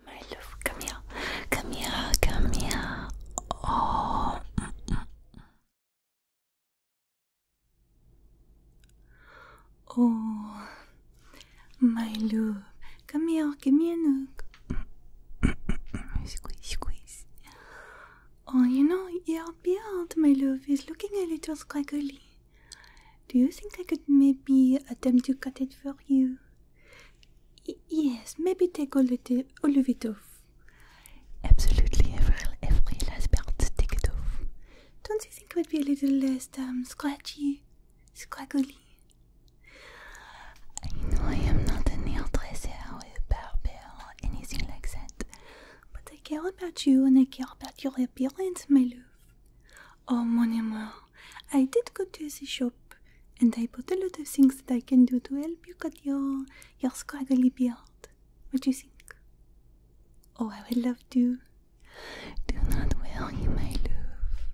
My love, come here, come here, come here. Oh. Mm, mm. Oh, my love, come here, give me a look squeeze, squeeze. Oh, you know, your beard, my love, is looking a little scraggly. Do you think I could maybe attempt to cut it for you? yes, maybe take all, the, all of it off. Absolutely, every, every last part, take it off. Don't you think it would be a little less um, scratchy, scraggly? I know I am not an hairdresser or a barber or anything like that, but I care about you and I care about your appearance, my love. Oh, mon amour, I did go to the shop and I bought a lot of things that I can do to help you cut your, your scraggly beard. What do you think? Oh, I would love to. Do not worry, my love.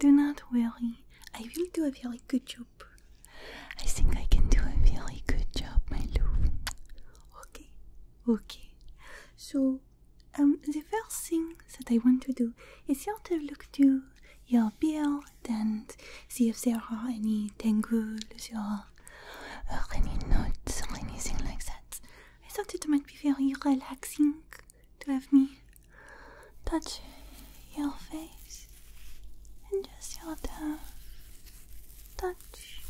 Do not worry. I will do a very good job. I think I can do a really good job, my love. Okay, okay. So, um, the first thing that I want to do is you to look to your bill and see if there are any tangles or any knots or anything like that. I thought it might be very relaxing to have me touch your face and just your toe. Touch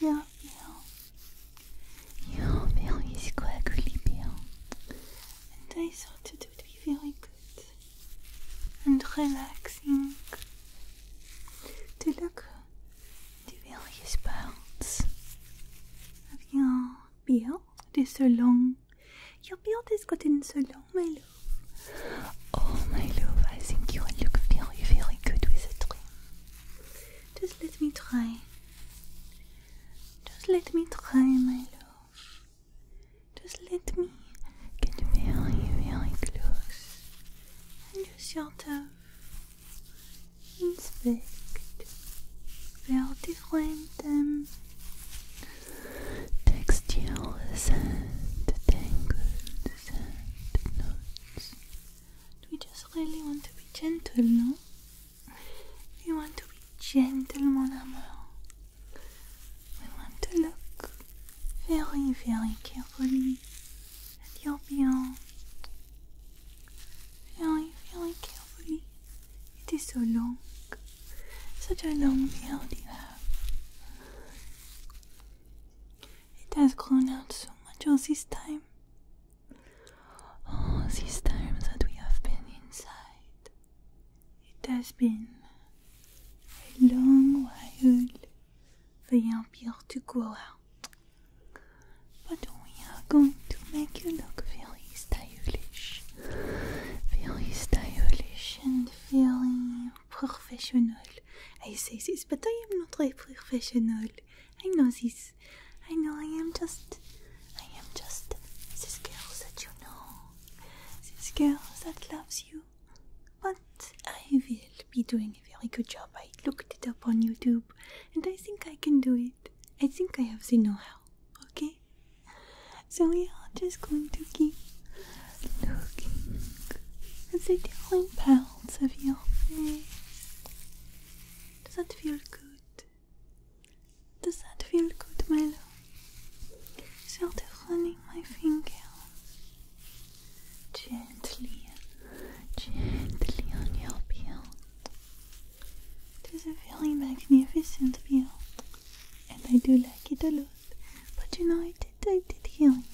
your bill. Your bill is quickly bill. And I thought it would be very good and relaxing to look the various parts of your bill. It is a long long. Your beard has gotten so long, my love. Oh, my love, I think you would look very, very good with a trim. Just let me try. Just let me try, my love. Just let me get very, very close. And just sort of inspect their different um, textual sand, tangled sand knots. We just really want to be gentle, no? We want to be gentle, mon amour. We want to look very, very carefully at your beyond. Very, very carefully. It is so long. Such a long tail It has grown out so much all oh, this time. All oh, this time that we have been inside. It has been a long while for your beard to grow out. But we are going to make you look very stylish. Very stylish very professional. I say this, but I am not a professional. I know this. I know I am just. I am just this girl that you know. This girl that loves you. But I will be doing a very good job. I looked it up on YouTube and I think I can do it. I think I have the know how. Okay? So we are just going to keep looking at the different parts of your face. Does that feel good? Does that feel good, my love? Sort of running my finger gently, gently on your beard. It is a very magnificent beard, and I do like it a lot. But you know, I did, I did heal you.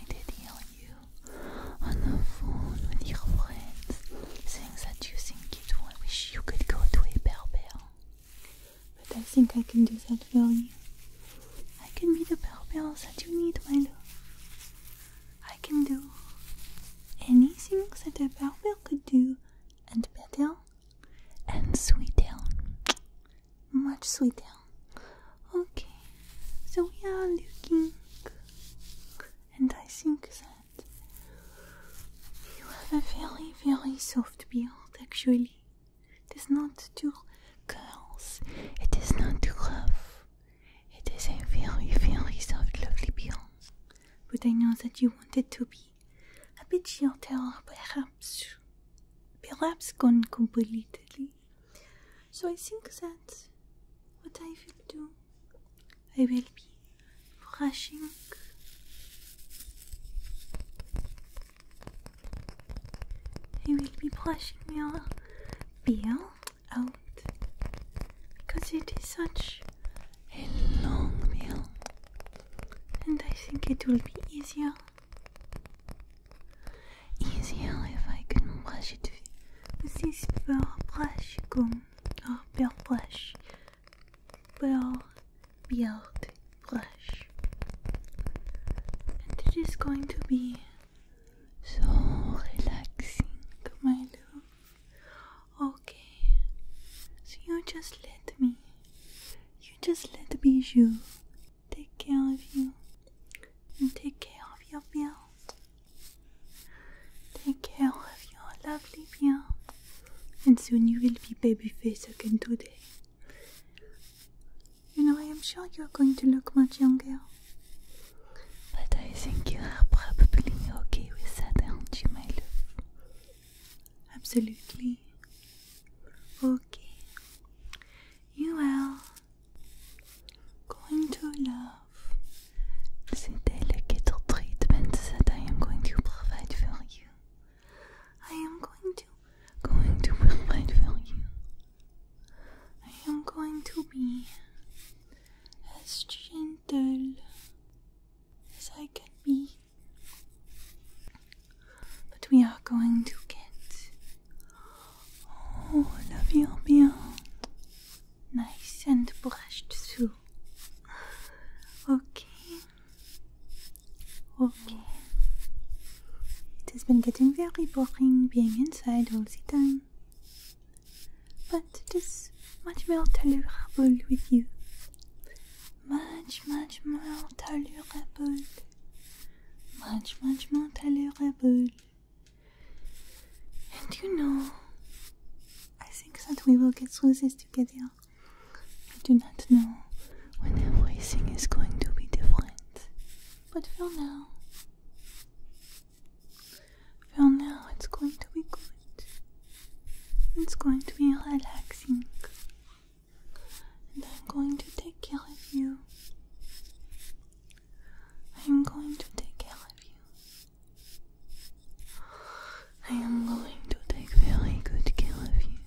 I did heal you on the phone with your friends, things that you think you do. I wish you could go to a berber. But I think I can do that for you. I can be the berber that you need, my love. I can do anything that a berber could do and better and sweet tail, Much sweet tail. Okay, so we are looking, and I think that you have a very, very soft beard actually. It is not too curls, it is not too rough. It is a very, very soft, lovely beard. But I know that you want it to be a bit gentle, perhaps, perhaps gone completely. So I think that what I will do, I will be brushing. I will be brushing your bill out because it is such a long bill, and I think it will be easier Easier if I can brush it with this pearl brush comb or pearl brush, pearl beard brush. And it is going to be so relaxing, my love. Okay, so you just let me, you just let me you take care of you and take care of your feel Take care of your lovely feel And soon you will be baby face again today. You know, I am sure you are going to look much younger. But I think you are probably okay with that, aren't you, my love? Absolutely. Okay. You are going to love the delicate treatment that I am going to provide for you. I am going to going to provide for you. I am going to be as gentle as I can be but we are going to get all of your bill nice and brushed through. Okay. Okay. It has been getting very boring being inside all the time. But it is much more tolerable with you much, much more tolerable. Much, much more tolerable. And you know, I think that we will get through this together. I do not know when everything is going to be different. But for now, for now, it's going to be good. It's going to be relaxing and I'm going to take care of you. I'm going to take care of you. I am going to take very good care of you.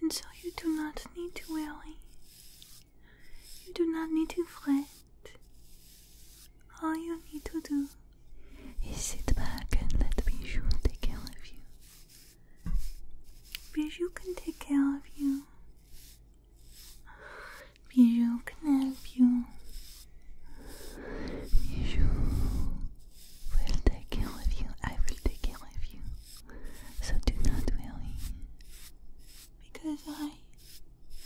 And so you do not need to worry. You do not need to fret. All you need to do is sit back and let me shoot take care of you. Bijou can take care of you. Bijou can help you. Bijou will take care of you. I will take care of you. So do not worry. Because I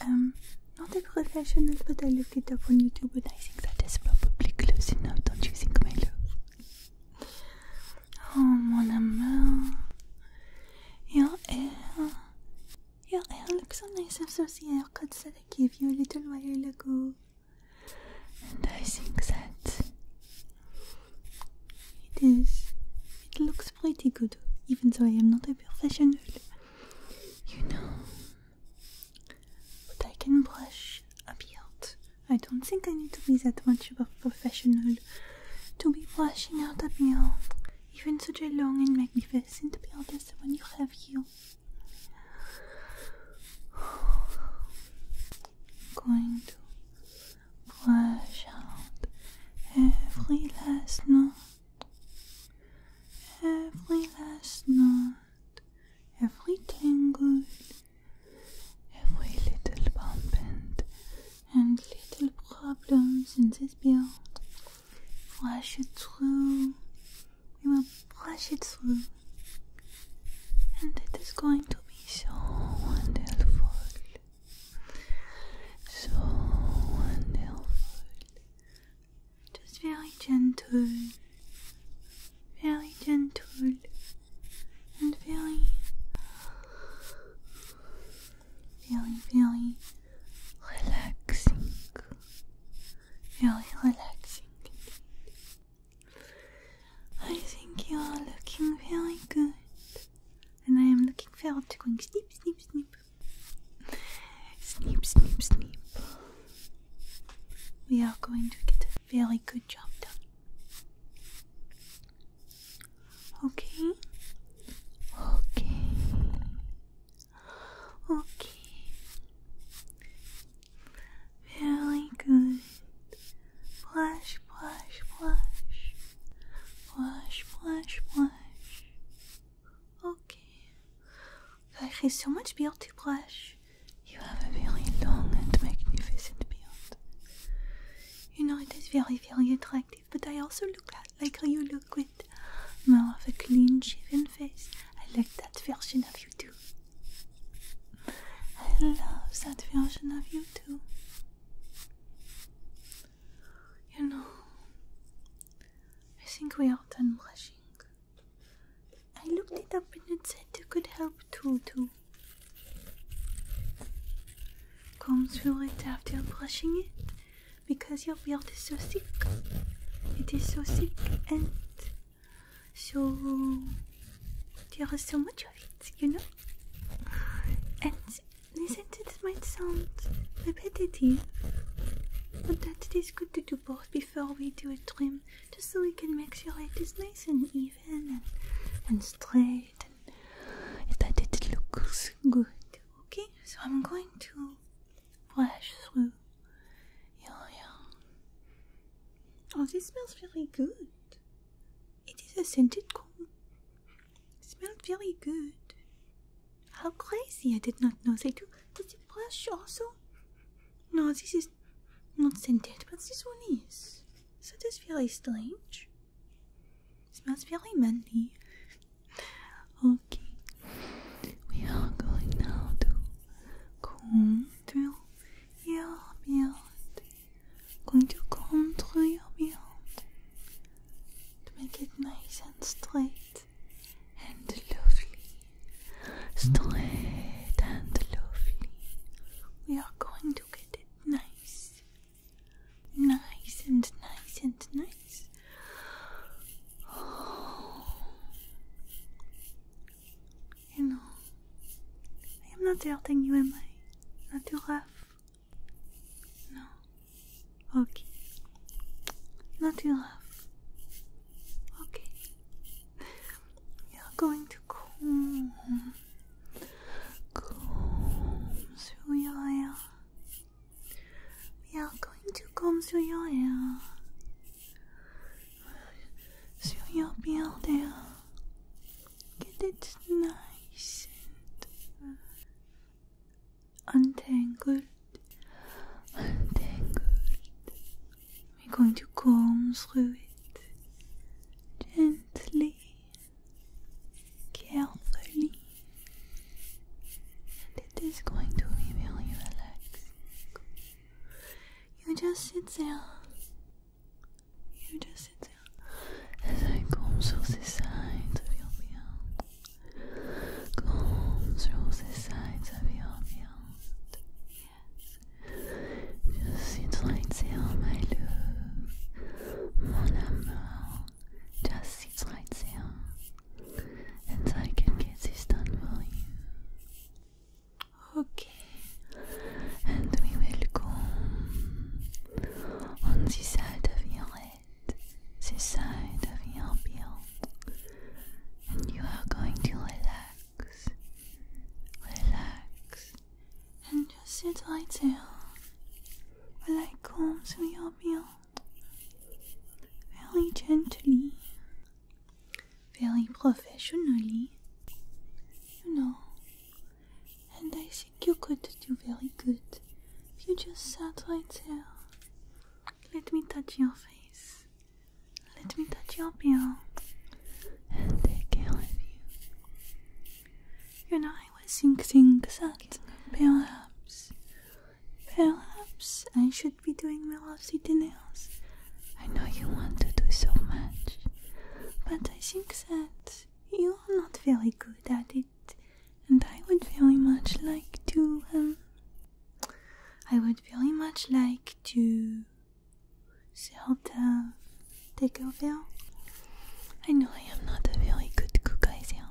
am not a professional, but I looked it up on YouTube and I think that is probably close enough, don't you think, my Oh, mon amour. Your hair. Your hair looks so nice. I'm seen your haircuts that I gave you a little while ago. And I think that it is. It looks pretty good, even though I am not a professional. You know. But I can brush a beard I don't think I need to be that much of a professional to be washing out a meal, even such a long and magnificent meal as the one you have here. going to wash out every last knot, every last knot, every tangled every little bump and, little problems in this bill. Flush it through. We will brush it through. And it is going to be so wonderful. So wonderful. Just very gentle. Very gentle and feeling, feeling, feeling relaxing, feeling relaxing. I think you are looking very good, and I am looking forward to going snip, snip, snip, snip, snip, snip. We are going to get very good job done. Okay. Okay. Okay. Very good. Blush, blush, blush. Blush, blush, blush. Okay. God, has so much beard to blush. You have a very long and magnificent beard you know it is very very attractive but I also look like how you look with more of a clean shaven face I like that version of you too I love that version of you too you know I think we are done brushing I looked it up and it said you could help too to Combs through it after brushing it because your beard is so thick. It is so thick and so there is so much of it, you know? And listen to might sound repetitive, but that it is good to do both before we do a trim, just so we can make sure it is nice and even and, and straight that it looks good. Okay, so I'm going to brush through. Um, oh, this smells really good. It is a scented comb. It smelled very good. How crazy! I did not know they do. Does the brush also? No, this is not scented, but this one is. So this very strange. Smells really manly. okay, we are going now to comb through your beard. Going to comb through your beard to make it nice and straight and lovely. Straight and lovely. We are going to get it nice Nice and nice and nice. You know, I am not hurting you, am I? Not too rough. No. Okay. Not too rough. Okay. You're going to cool comb through your hair. We are going to comb through your hair, through your beard Get it nice and untangled, untangled. We're going to comb through it gently carefully, and it is going to be really relaxing. You just sit there. You just sit there as I comb through the sides of your beard. Comb through the sides of your beard. Yes. Just sit right there, my love. Mon amour, just these lights here, and I can get this done for you. Okay, and we will go on this side of your head, this side of your bill, and you are going to relax, relax, and just sit right there while I comb through your hair, very gently, very professionally, you know. And I think you could do very good if you just sat right there. Let me touch your face. Let me touch your hair. and take care of you. You know, I was thinking that perhaps, perhaps I should be doing my velocity nails. I know you want to do so much, but I think that you are not very good at it, and I would very much like to, um, I would very much like to sort of Take Takeover. I know I am not a very good cook either,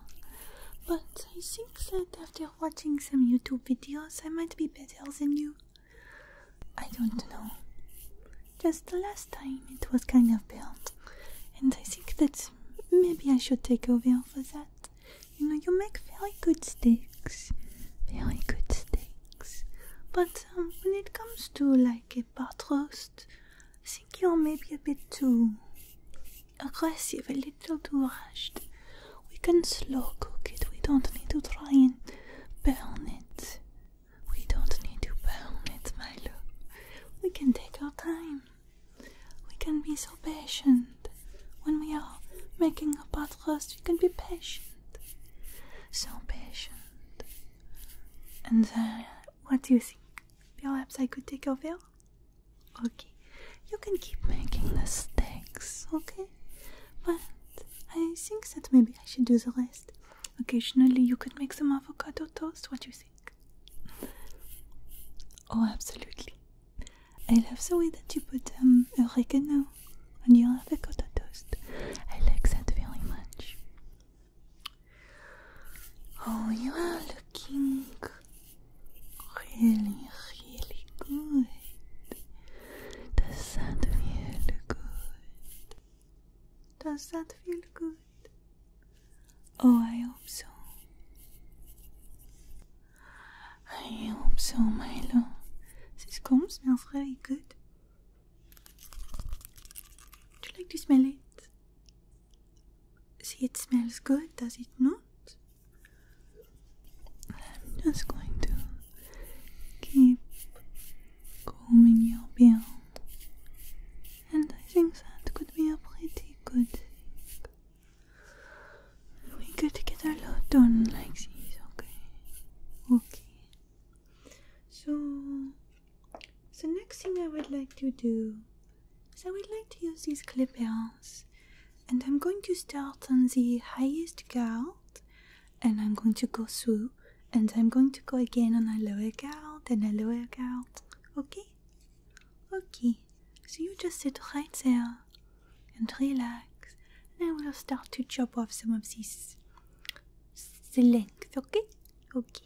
but I think that after watching some YouTube videos, I might be better than you. I don't know. Just the last time it was kind of bad, and I think that maybe I should take over for that. You know, you make very good steaks, very good steaks. But um, when it comes to like bit buttrust. I think you're maybe a bit too aggressive, a little too rushed. We can slow cook it, we don't need to try and burn it. We don't need to burn it, my love. We can take our time. We can be so patient. When we are making a buttrust, we can be patient. So patient. And then what do you think? Perhaps I could take over? Okay, you can keep making the steaks, okay? But I think that maybe I should do the rest. Occasionally, you could make some avocado toast. What do you think? Oh, absolutely. I love the way that you put um, oregano on your avocado toast. I like that very much. Oh, you are looking really, really good. Does that feel good? Does that feel good? Oh, I hope so. I hope so, my love. This comb smells very good. Do you like to smell it? See, it smells good, does it not? I'm just going to keep combing your bill, and I think that could be a pretty good thing. We could get a lot done like this, okay? Okay. So so next thing I would like to do is I would like to use these clip-ons and I'm going to start on the highest gout and I'm going to go through and I'm going to go again on a lower gout and a lower gout. Okay? Okay. So you just sit right there and relax and I will start to chop off some of these the length, okay? Okay.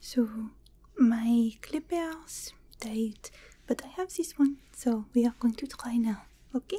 So, my clippers date but I have this one, so we are going to try now, okay?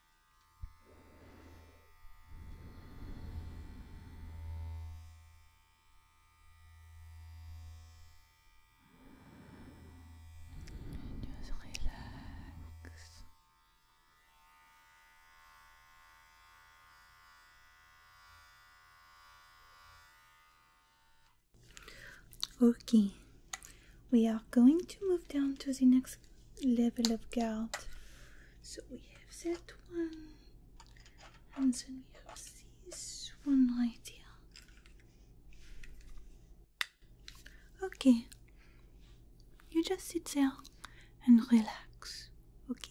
And just relax. Okay, we are going to move down to the next level of gout. So we have that one, and then we have this one right here. Okay, you just sit there and relax, okay?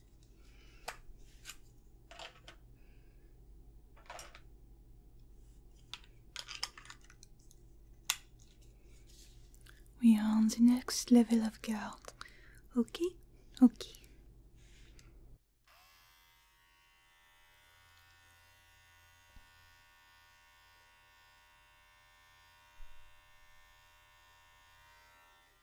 We are on the next level of guard. Okay? Okay.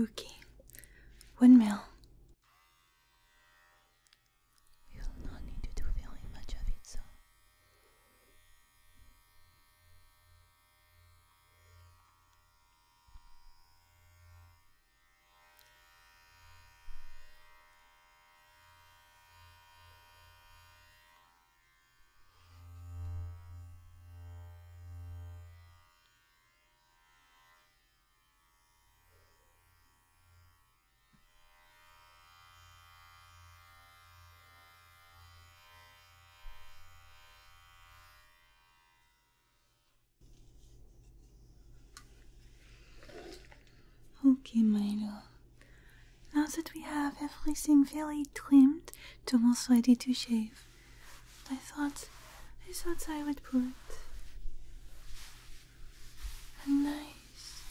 Okay, windmill. We will not need to do very much of it, so. Okay, my love. Now that we have everything very trimmed, it's almost ready to shave. I thought, I thought I would put a nice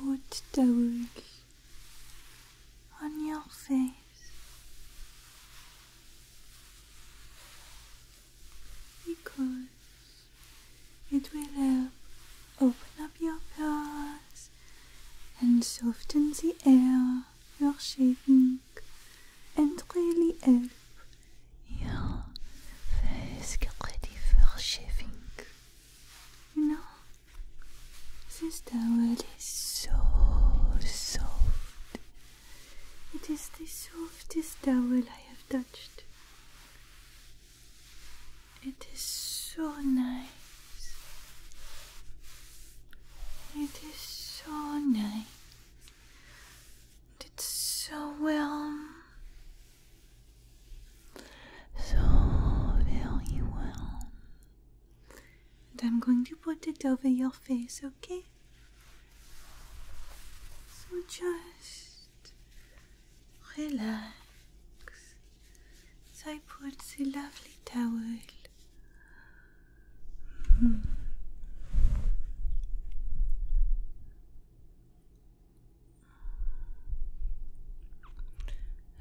old towel on your face. Because it will help uh, open up your pores and soften the air for your shaving and really help your face get ready for shaving. You know, this towel is so soft. It is the softest towel I have touched. It is so nice. It is so nice. It's so well. So very well. And I'm going to put it over your face, okay? So just relax, so I put the lovely towel. Hmm.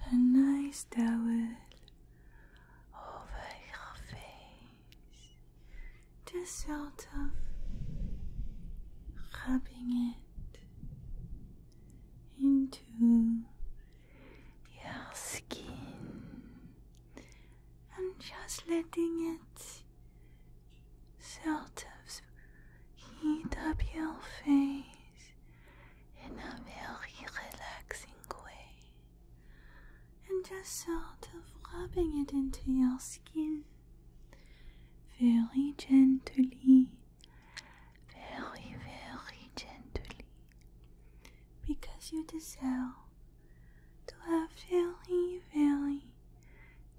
A nice towel over your face, just sort of rubbing it into your skin and just letting it sort of heat up your face in a very relaxing way and just sort of rubbing it into your skin very gently, very, very gently because you deserve to have very, very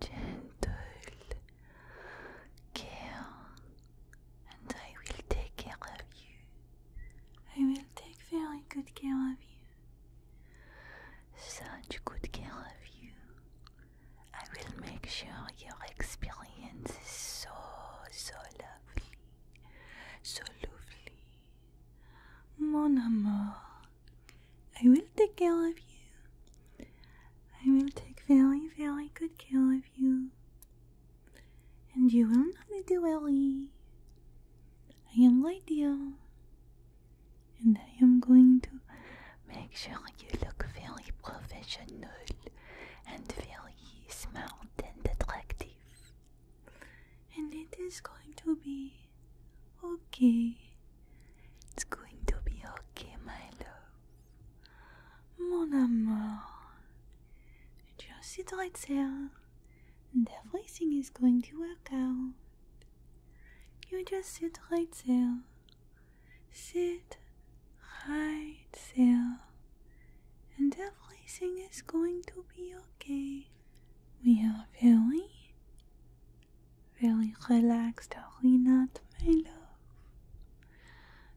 gentle care, and I will take care of you. I will take very good care of you. Such good care of you. I will make sure your experience is so, so lovely so lovely. Mon amour, I will take care of you. I will take very, very good care of you. And you will not need to I am right And I am going to make sure you look very professional and very smart and attractive and it is going to be okay. It's going to be okay, my love. Mon amour. Just sit right there, and everything is going to work out. You just sit right there. Sit right there and everything is going to be okay. We are very, very relaxed, are we not, my love?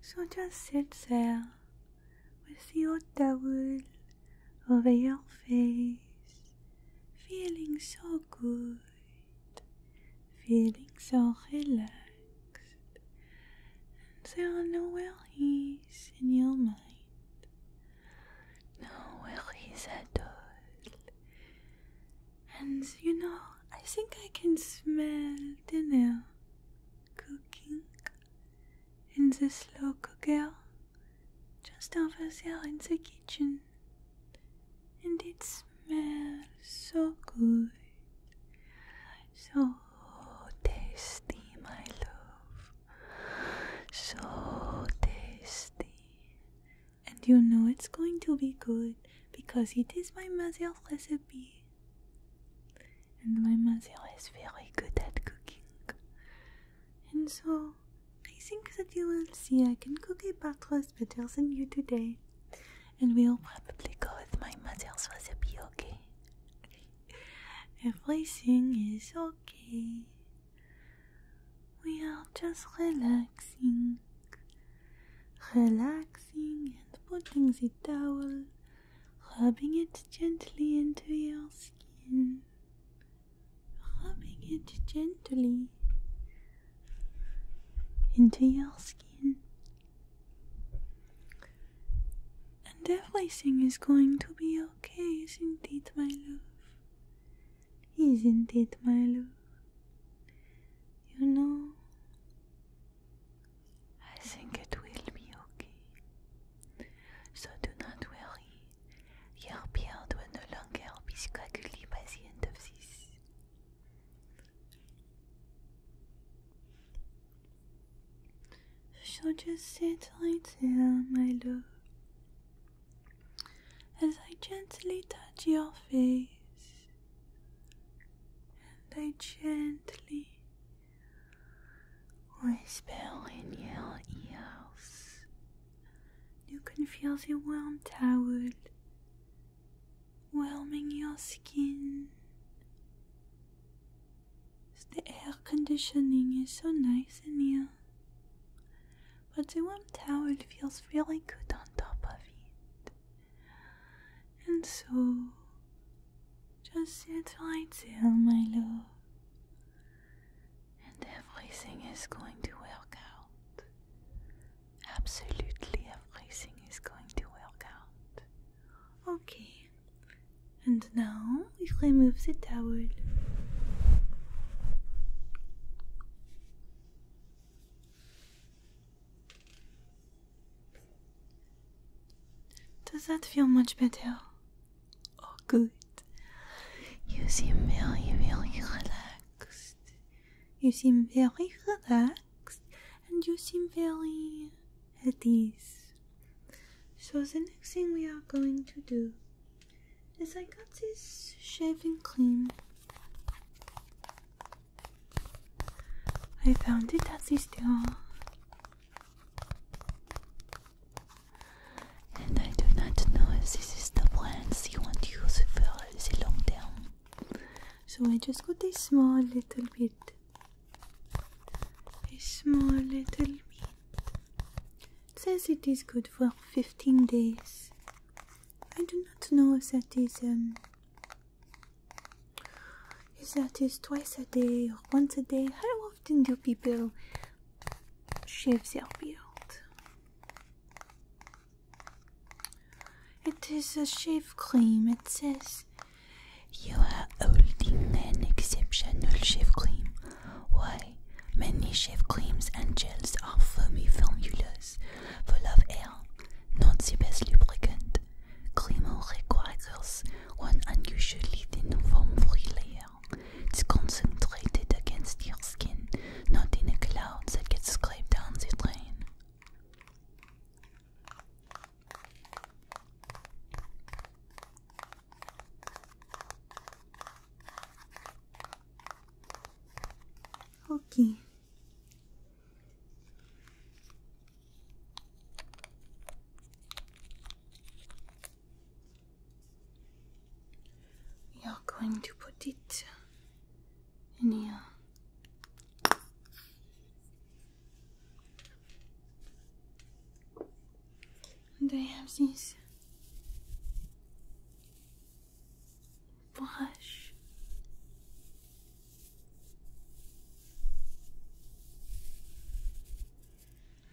So just sit there with your towel over your face, feeling so good, feeling so relaxed. And there are no worries in your mind. No worries at all. And you know, I think I can smell dinner cooking in this local girl, just over there in the kitchen. And it smells so good, so tasty, my love. So tasty. And you know it's going to be good because it is my mother's recipe. And my mother is very good at cooking. And so I think that you will see I can cook a pot roast better than you today. And we'll probably go with my mother's recipe, okay? Everything is so we are just relaxing, relaxing and putting the towel, rubbing it gently into your skin, rubbing it gently into your skin. And everything is going to be okay, isn't it my love? Isn't it my love? You know, I think it will be okay. So do not worry, your beard will no longer be scraggly by the end of this. I shall just sit right there, my love, as I gently touch your face, and I gently whisper in your ears. You can feel the warm towel warming your skin. The air conditioning is so nice in here. But the warm towel feels really good on top of it. And so, just sit right there, my love. And everything is going to work out. Absolutely everything is going to work out. Okay. And now we can move the towel. Does that feel much better? Oh, good. You seem very, very relaxed. You seem very relaxed and you seem very at ease. So, the next thing we are going to do as I got this shaving cream. I found it at the And I do not know if this is the brands you want to use for the long term. So I just got this small little bit. A small little bit says it is good for 15 days. I do not know if that is um if that is twice a day or once a day. How often do people shave their beard? It is a shave cream. It says you are holding an exceptional shave cream. Why, many shave creams and gels are foamy formulas full of air, not the best lubricant. Cremo requires one unusually thin foam-free layer. It's concentrated against your skin, not in a cloud that gets scraped down the drain. Okay. We are going to put it in here and I have this brush.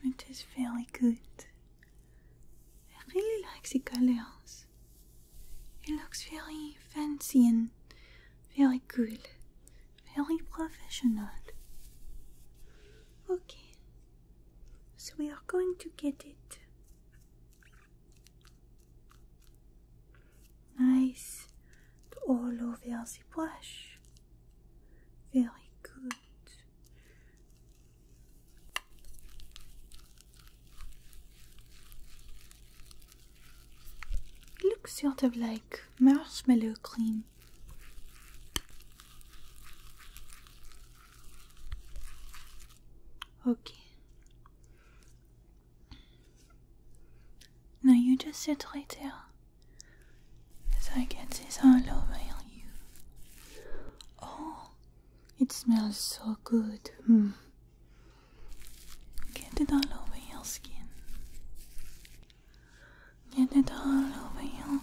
It is very good. I really like the colors. It looks very fancy and very good, very professional. Okay, so we are going to get it nice all over the brush. Very good. looks sort of like marshmallow cream. Okay. Now you just sit right there. As I get this all over you. Oh, it smells so good. Hmm. Get it all over your skin get it all over you,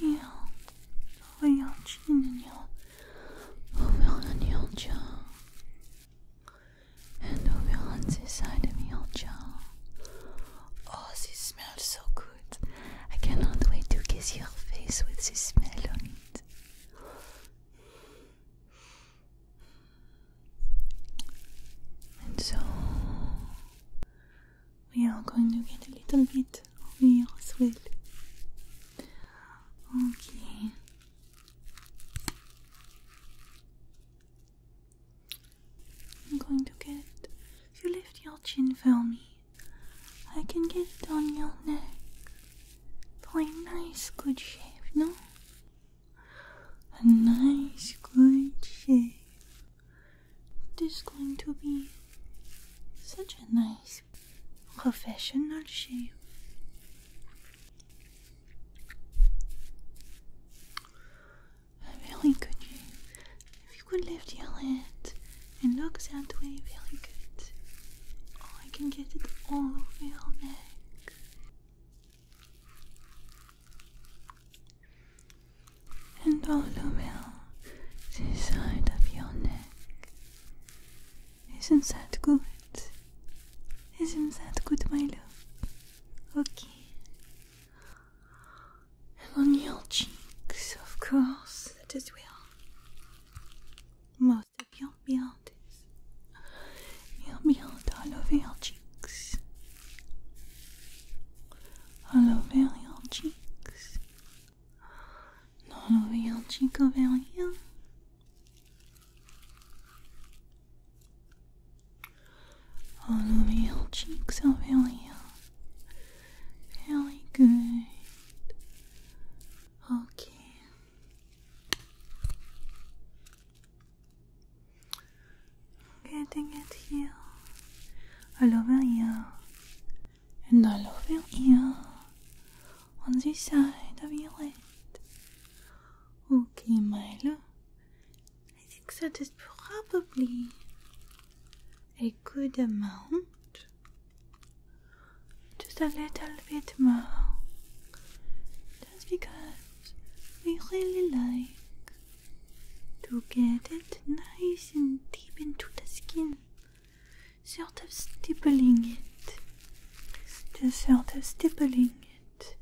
you, over your chin and your, over on your jaw, and over on this side of your jaw. Oh, this smells so good! I cannot wait to kiss your face with this smell on it. And so we are going to get a little bit of your sweat. Okay. I'm going to get, if you lift your chin for me, I can get it on your neck for nice good shape, no? A nice good shape. There's going to be such a nice professional shave. Really good. If you could lift your head and look that way, really good. Oh, I can get it all over your neck and all the milk side of your neck. Isn't that good? Isn't that good, my love? Okay. And on your cheeks, of course, that is real. Most of your beard is your beard all over your cheeks. All over your cheeks. Not over here, cheek over here. All over your cheeks over here. Very good. Okay. Getting it here. All over you and I all over here on the side of your head. Okay, Milo, I think that is probably a good amount. Just a little bit more, just because we really like to get it nice and deep into the skin sort of stippling it. Just sort of stippling it.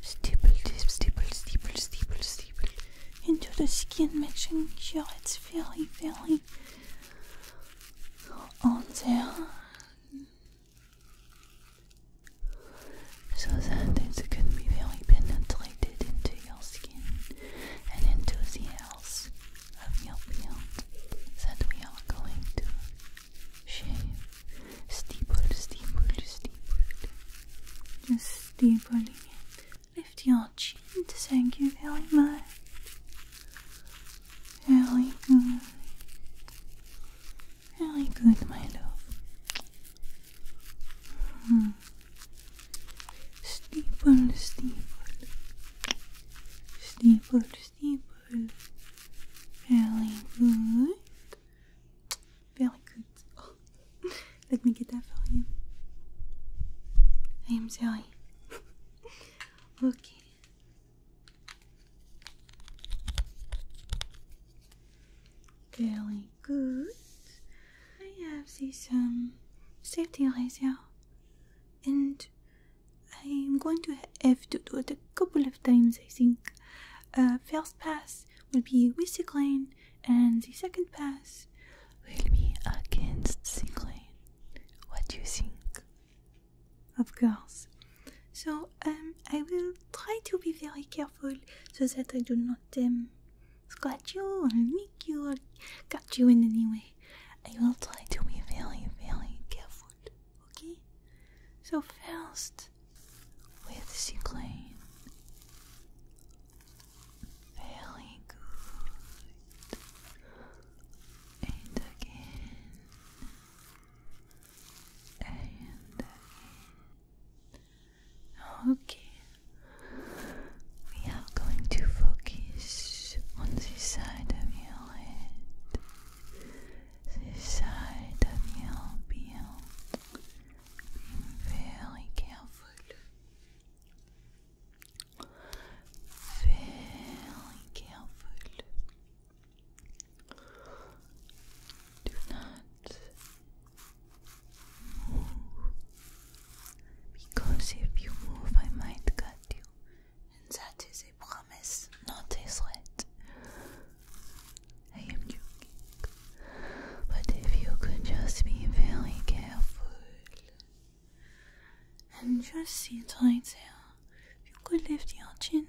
Stipple, stipple, stipple, stipple, stipple. Into the skin, making sure it's very, very on there. So that it can be very penetrated into your skin and into the house of your field that we are going to shave steeple, steeple, steeple just steepling it lift your chin, thank you very much very good very good, my love hmm. Steeple, steeple, steeple, steeple. Very good, very good. Let me get that for you. I am sorry. okay. Very good. I have this um safety razor and I'm going to have to do it a couple of times, I think. Uh, first pass will be with Cyclane, and the second pass will be against Cyclane. What do you think? Of course. So um, I will try to be very careful so that I do not um, scratch you or nick you or cut you in any way. I will try to be very, very careful, okay? So, first, with cyclone. Very good. And again. And again. Okay we are going to focus on this side of your head, this side of your beard. very careful, very careful. Do not because if you move, I might cut you, and that is a promise, not a threat. I am joking. But if you could just be very careful and just sit right there, if you could lift your chin,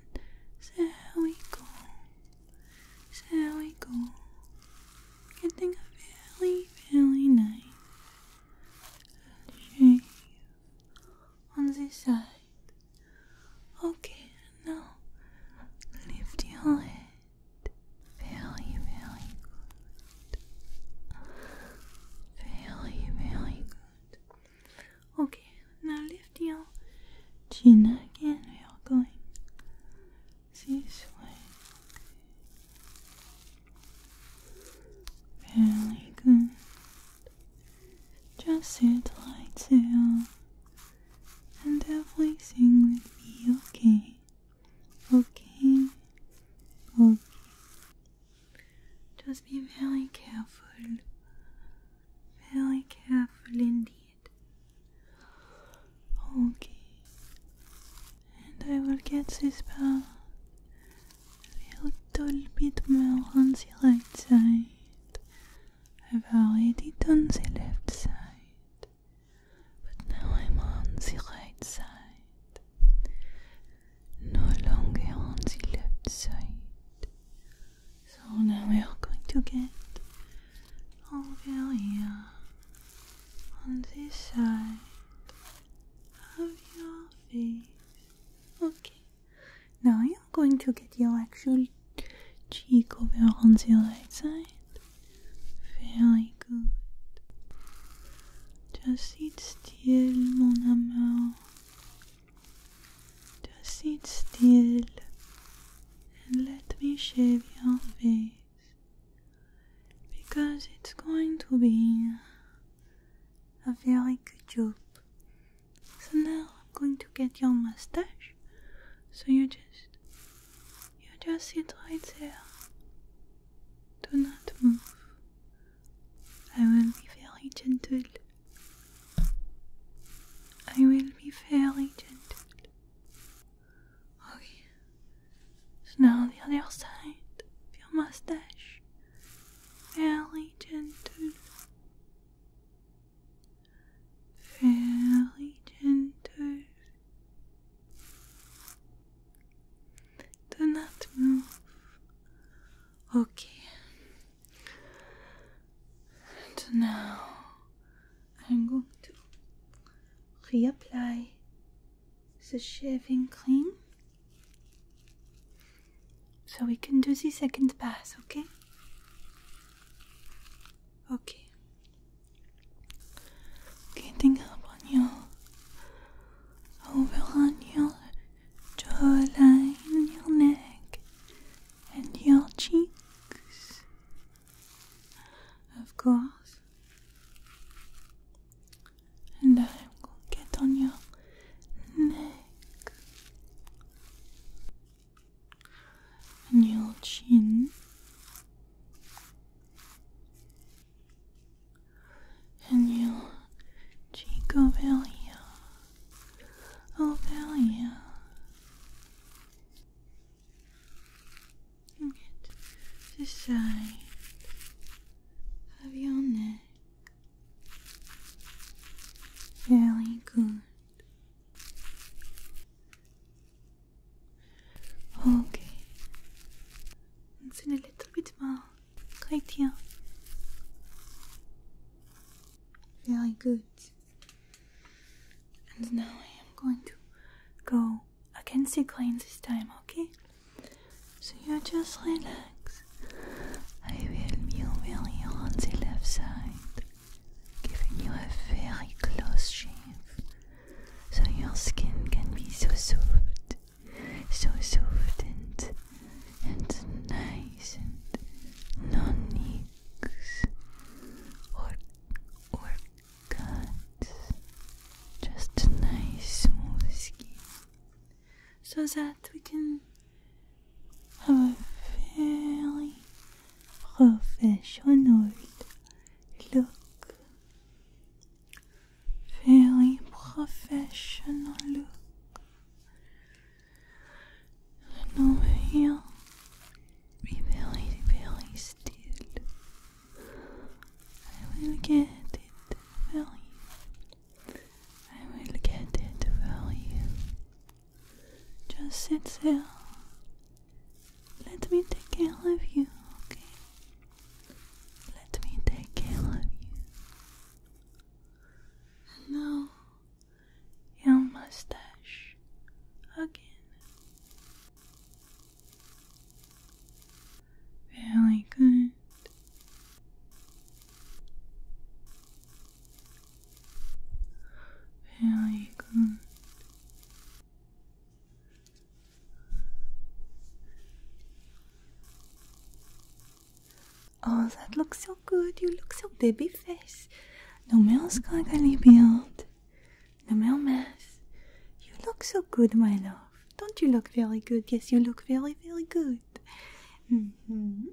there we go. There we go. Getting a very, very nice and on this side. Okay, now lift your head. Very, very good. Very, very good. Okay, now lift your chin again. We are going this way. Really good. Just sit like down, and everything will be okay. Okay, okay. Just be very careful, very careful indeed. Okay, and I will get this ball a little bit more on the right side. I've already done the left side, but now I'm on the right side. No longer on the left side. So now we are going to get all over here on this side of your face. Okay. Now you're going to get your actual cheek over on the right side. Very good. Just sit still, mon amour. Just sit still and let me shave your face because it's going to be a very good job. So now I'm going to get your mustache. So you just you just sit right there. Do not move. I will be very gentle. I will be very gentle. Okay. So now the other side of your mustache fairly gentle, fairly gentle. Do not move. Okay. And now I'm going to reapply the shaving clean, So we can do the second pass, okay? Okay. Getting up on your over on your jawline, your neck, and your cheeks. Of course and i will get on your neck and your chin and your cheek over here, over get the side of your neck very good. Okay. It's a little bit more. Right here. Very good. And now I am going to go against the grain this time, okay? So you just relax. I will mirror you on left side, giving you a very close shave, so your skin can be so soft, so soft and and nice and non-nicks or or cut. Just nice smooth skin so that we can have a very professional look. Very professional look. And over here, be very, very still. I will get it very I will get it for you. Just sit still. Let me take care of you, okay? Let me take care of you. And now, your mustache again. Really good. Very good. Oh, that looks so good. You look so baby face. No meus cagalibiot. No meu mess. You look so good, my love. Don't you look very good? Yes, you look very, very good. Mm-hmm.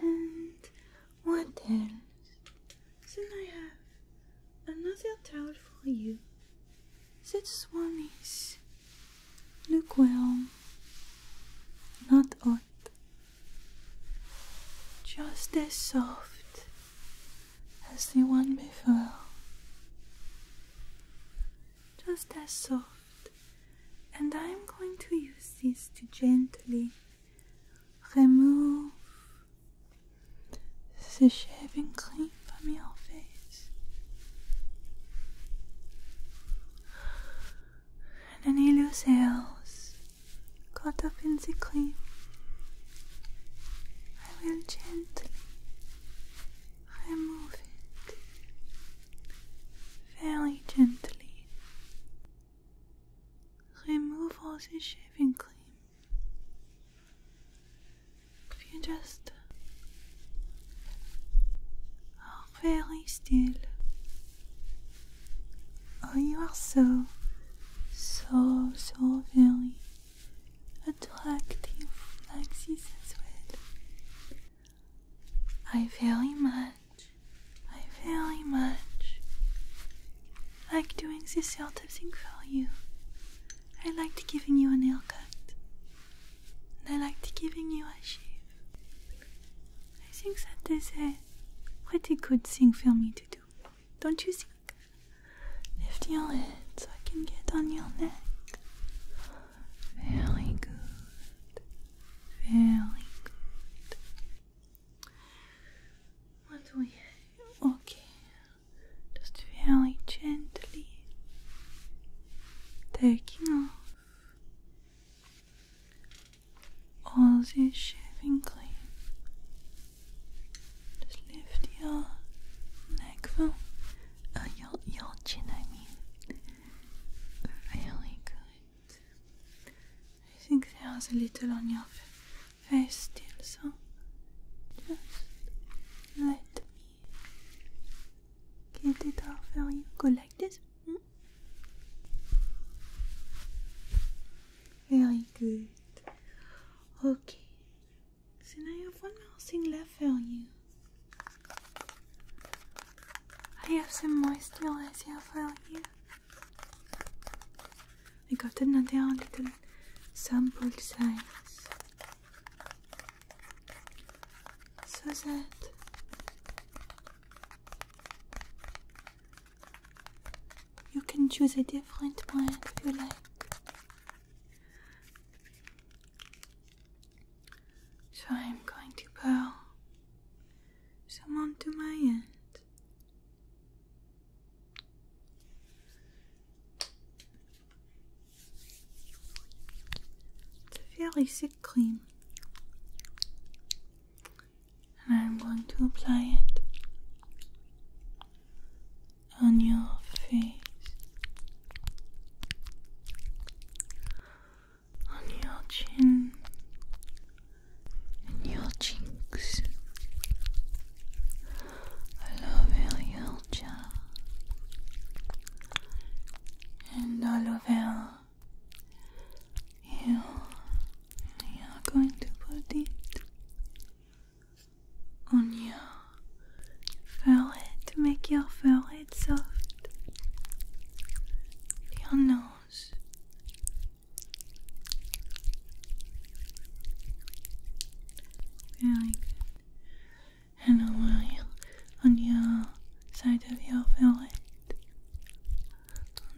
And what else? Then I have another towel for you. This one is lukewarm, not hot, just as soft as the one before. Just as soft and I'm going to use this to gently remove the shaving cream from your face. And any loose hairs caught up in the cream, I will gently remove it very gently. Remove all the shaving cream. If you just are very still. Oh, you are so, so, so very attractive like this I very much, I very much like doing this sort of thing for you. I liked giving you a nail cut, and I liked giving you a shave. I think that is a pretty good thing for me to do, don't you think? Lift your head so I can get on your neck. Very good. Very good. What do we Okay. Just very gently taking off all the shaving cream. Just lift your neck from uh, your chin I mean very good. I think there's a little on your face still, so just let me get it off for you. Go like this. Hmm? Very good. Okay. So now I have one more thing left for you. I have some moisturizer for you. I got another little sample size so that you can choose a different one if you like. So I'm going to pour some onto my end. It's a very thick cream. And I'm going to apply it on your face on your chin and your cheeks. I love your jaw and all over you. You are going to put it on your fur to make your fur it's soft. Your nose. Very good. And a while on your side of your forehead.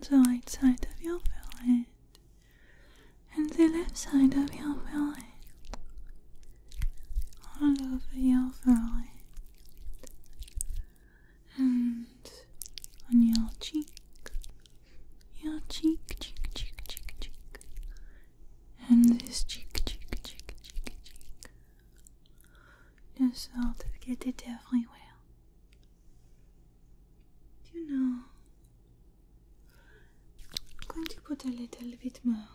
On the right side of your forehead. And the left side of your forehead. All over your forehead and on your cheek, your cheek, cheek, cheek, cheek, cheek, and this cheek, cheek, cheek, cheek, cheek. Just sort of get it everywhere. Do you know? I'm going to put a little bit more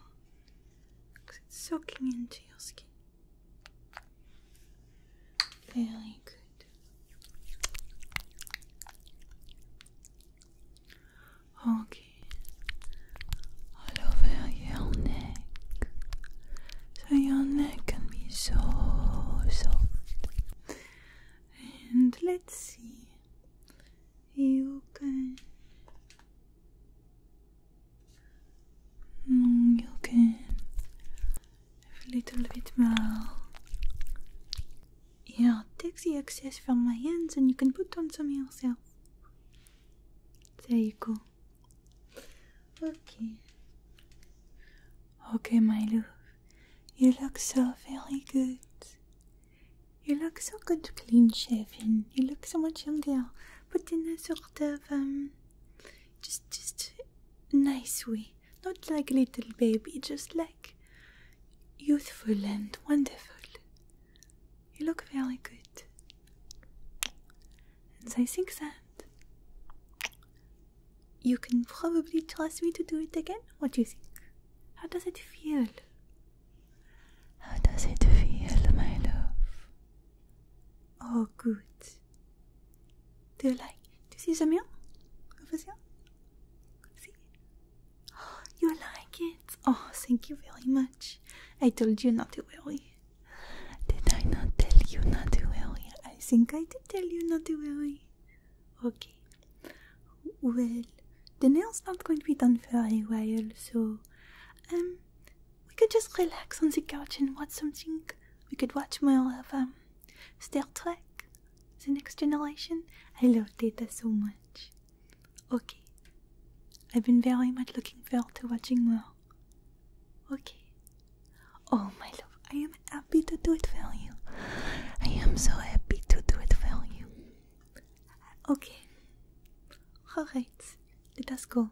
because it's soaking into your skin. Very good. Okay, all over your neck, your neck can be so soft. And let's see, you can you can have a little bit more. Yeah, take the excess from my hands and you can put on some yourself. There you go. Okay. Okay, my love. You look so very good. You look so good clean shaven. You look so much younger, put in a sort of um just just a nice way not like little baby just like youthful and wonderful you look very good and i think that you can probably trust me to do it again what do you think how does it feel how does it feel my love oh good do you like, do you see Jamil over there? See? Oh, you like it? Oh, thank you very much. I told you not to worry. Did I not tell you not to worry? I think I did tell you not to worry. Okay. Well, the nail's not going to be done for a while, so um, we could just relax on the couch and watch something. We could watch more of um, Star Trek, The Next Generation. I love Data so much. Okay. I've been very much looking forward to watching more. Okay. Oh, my love, I am happy to do it for you. I am so happy to do it for you. Okay. Alright, let us go.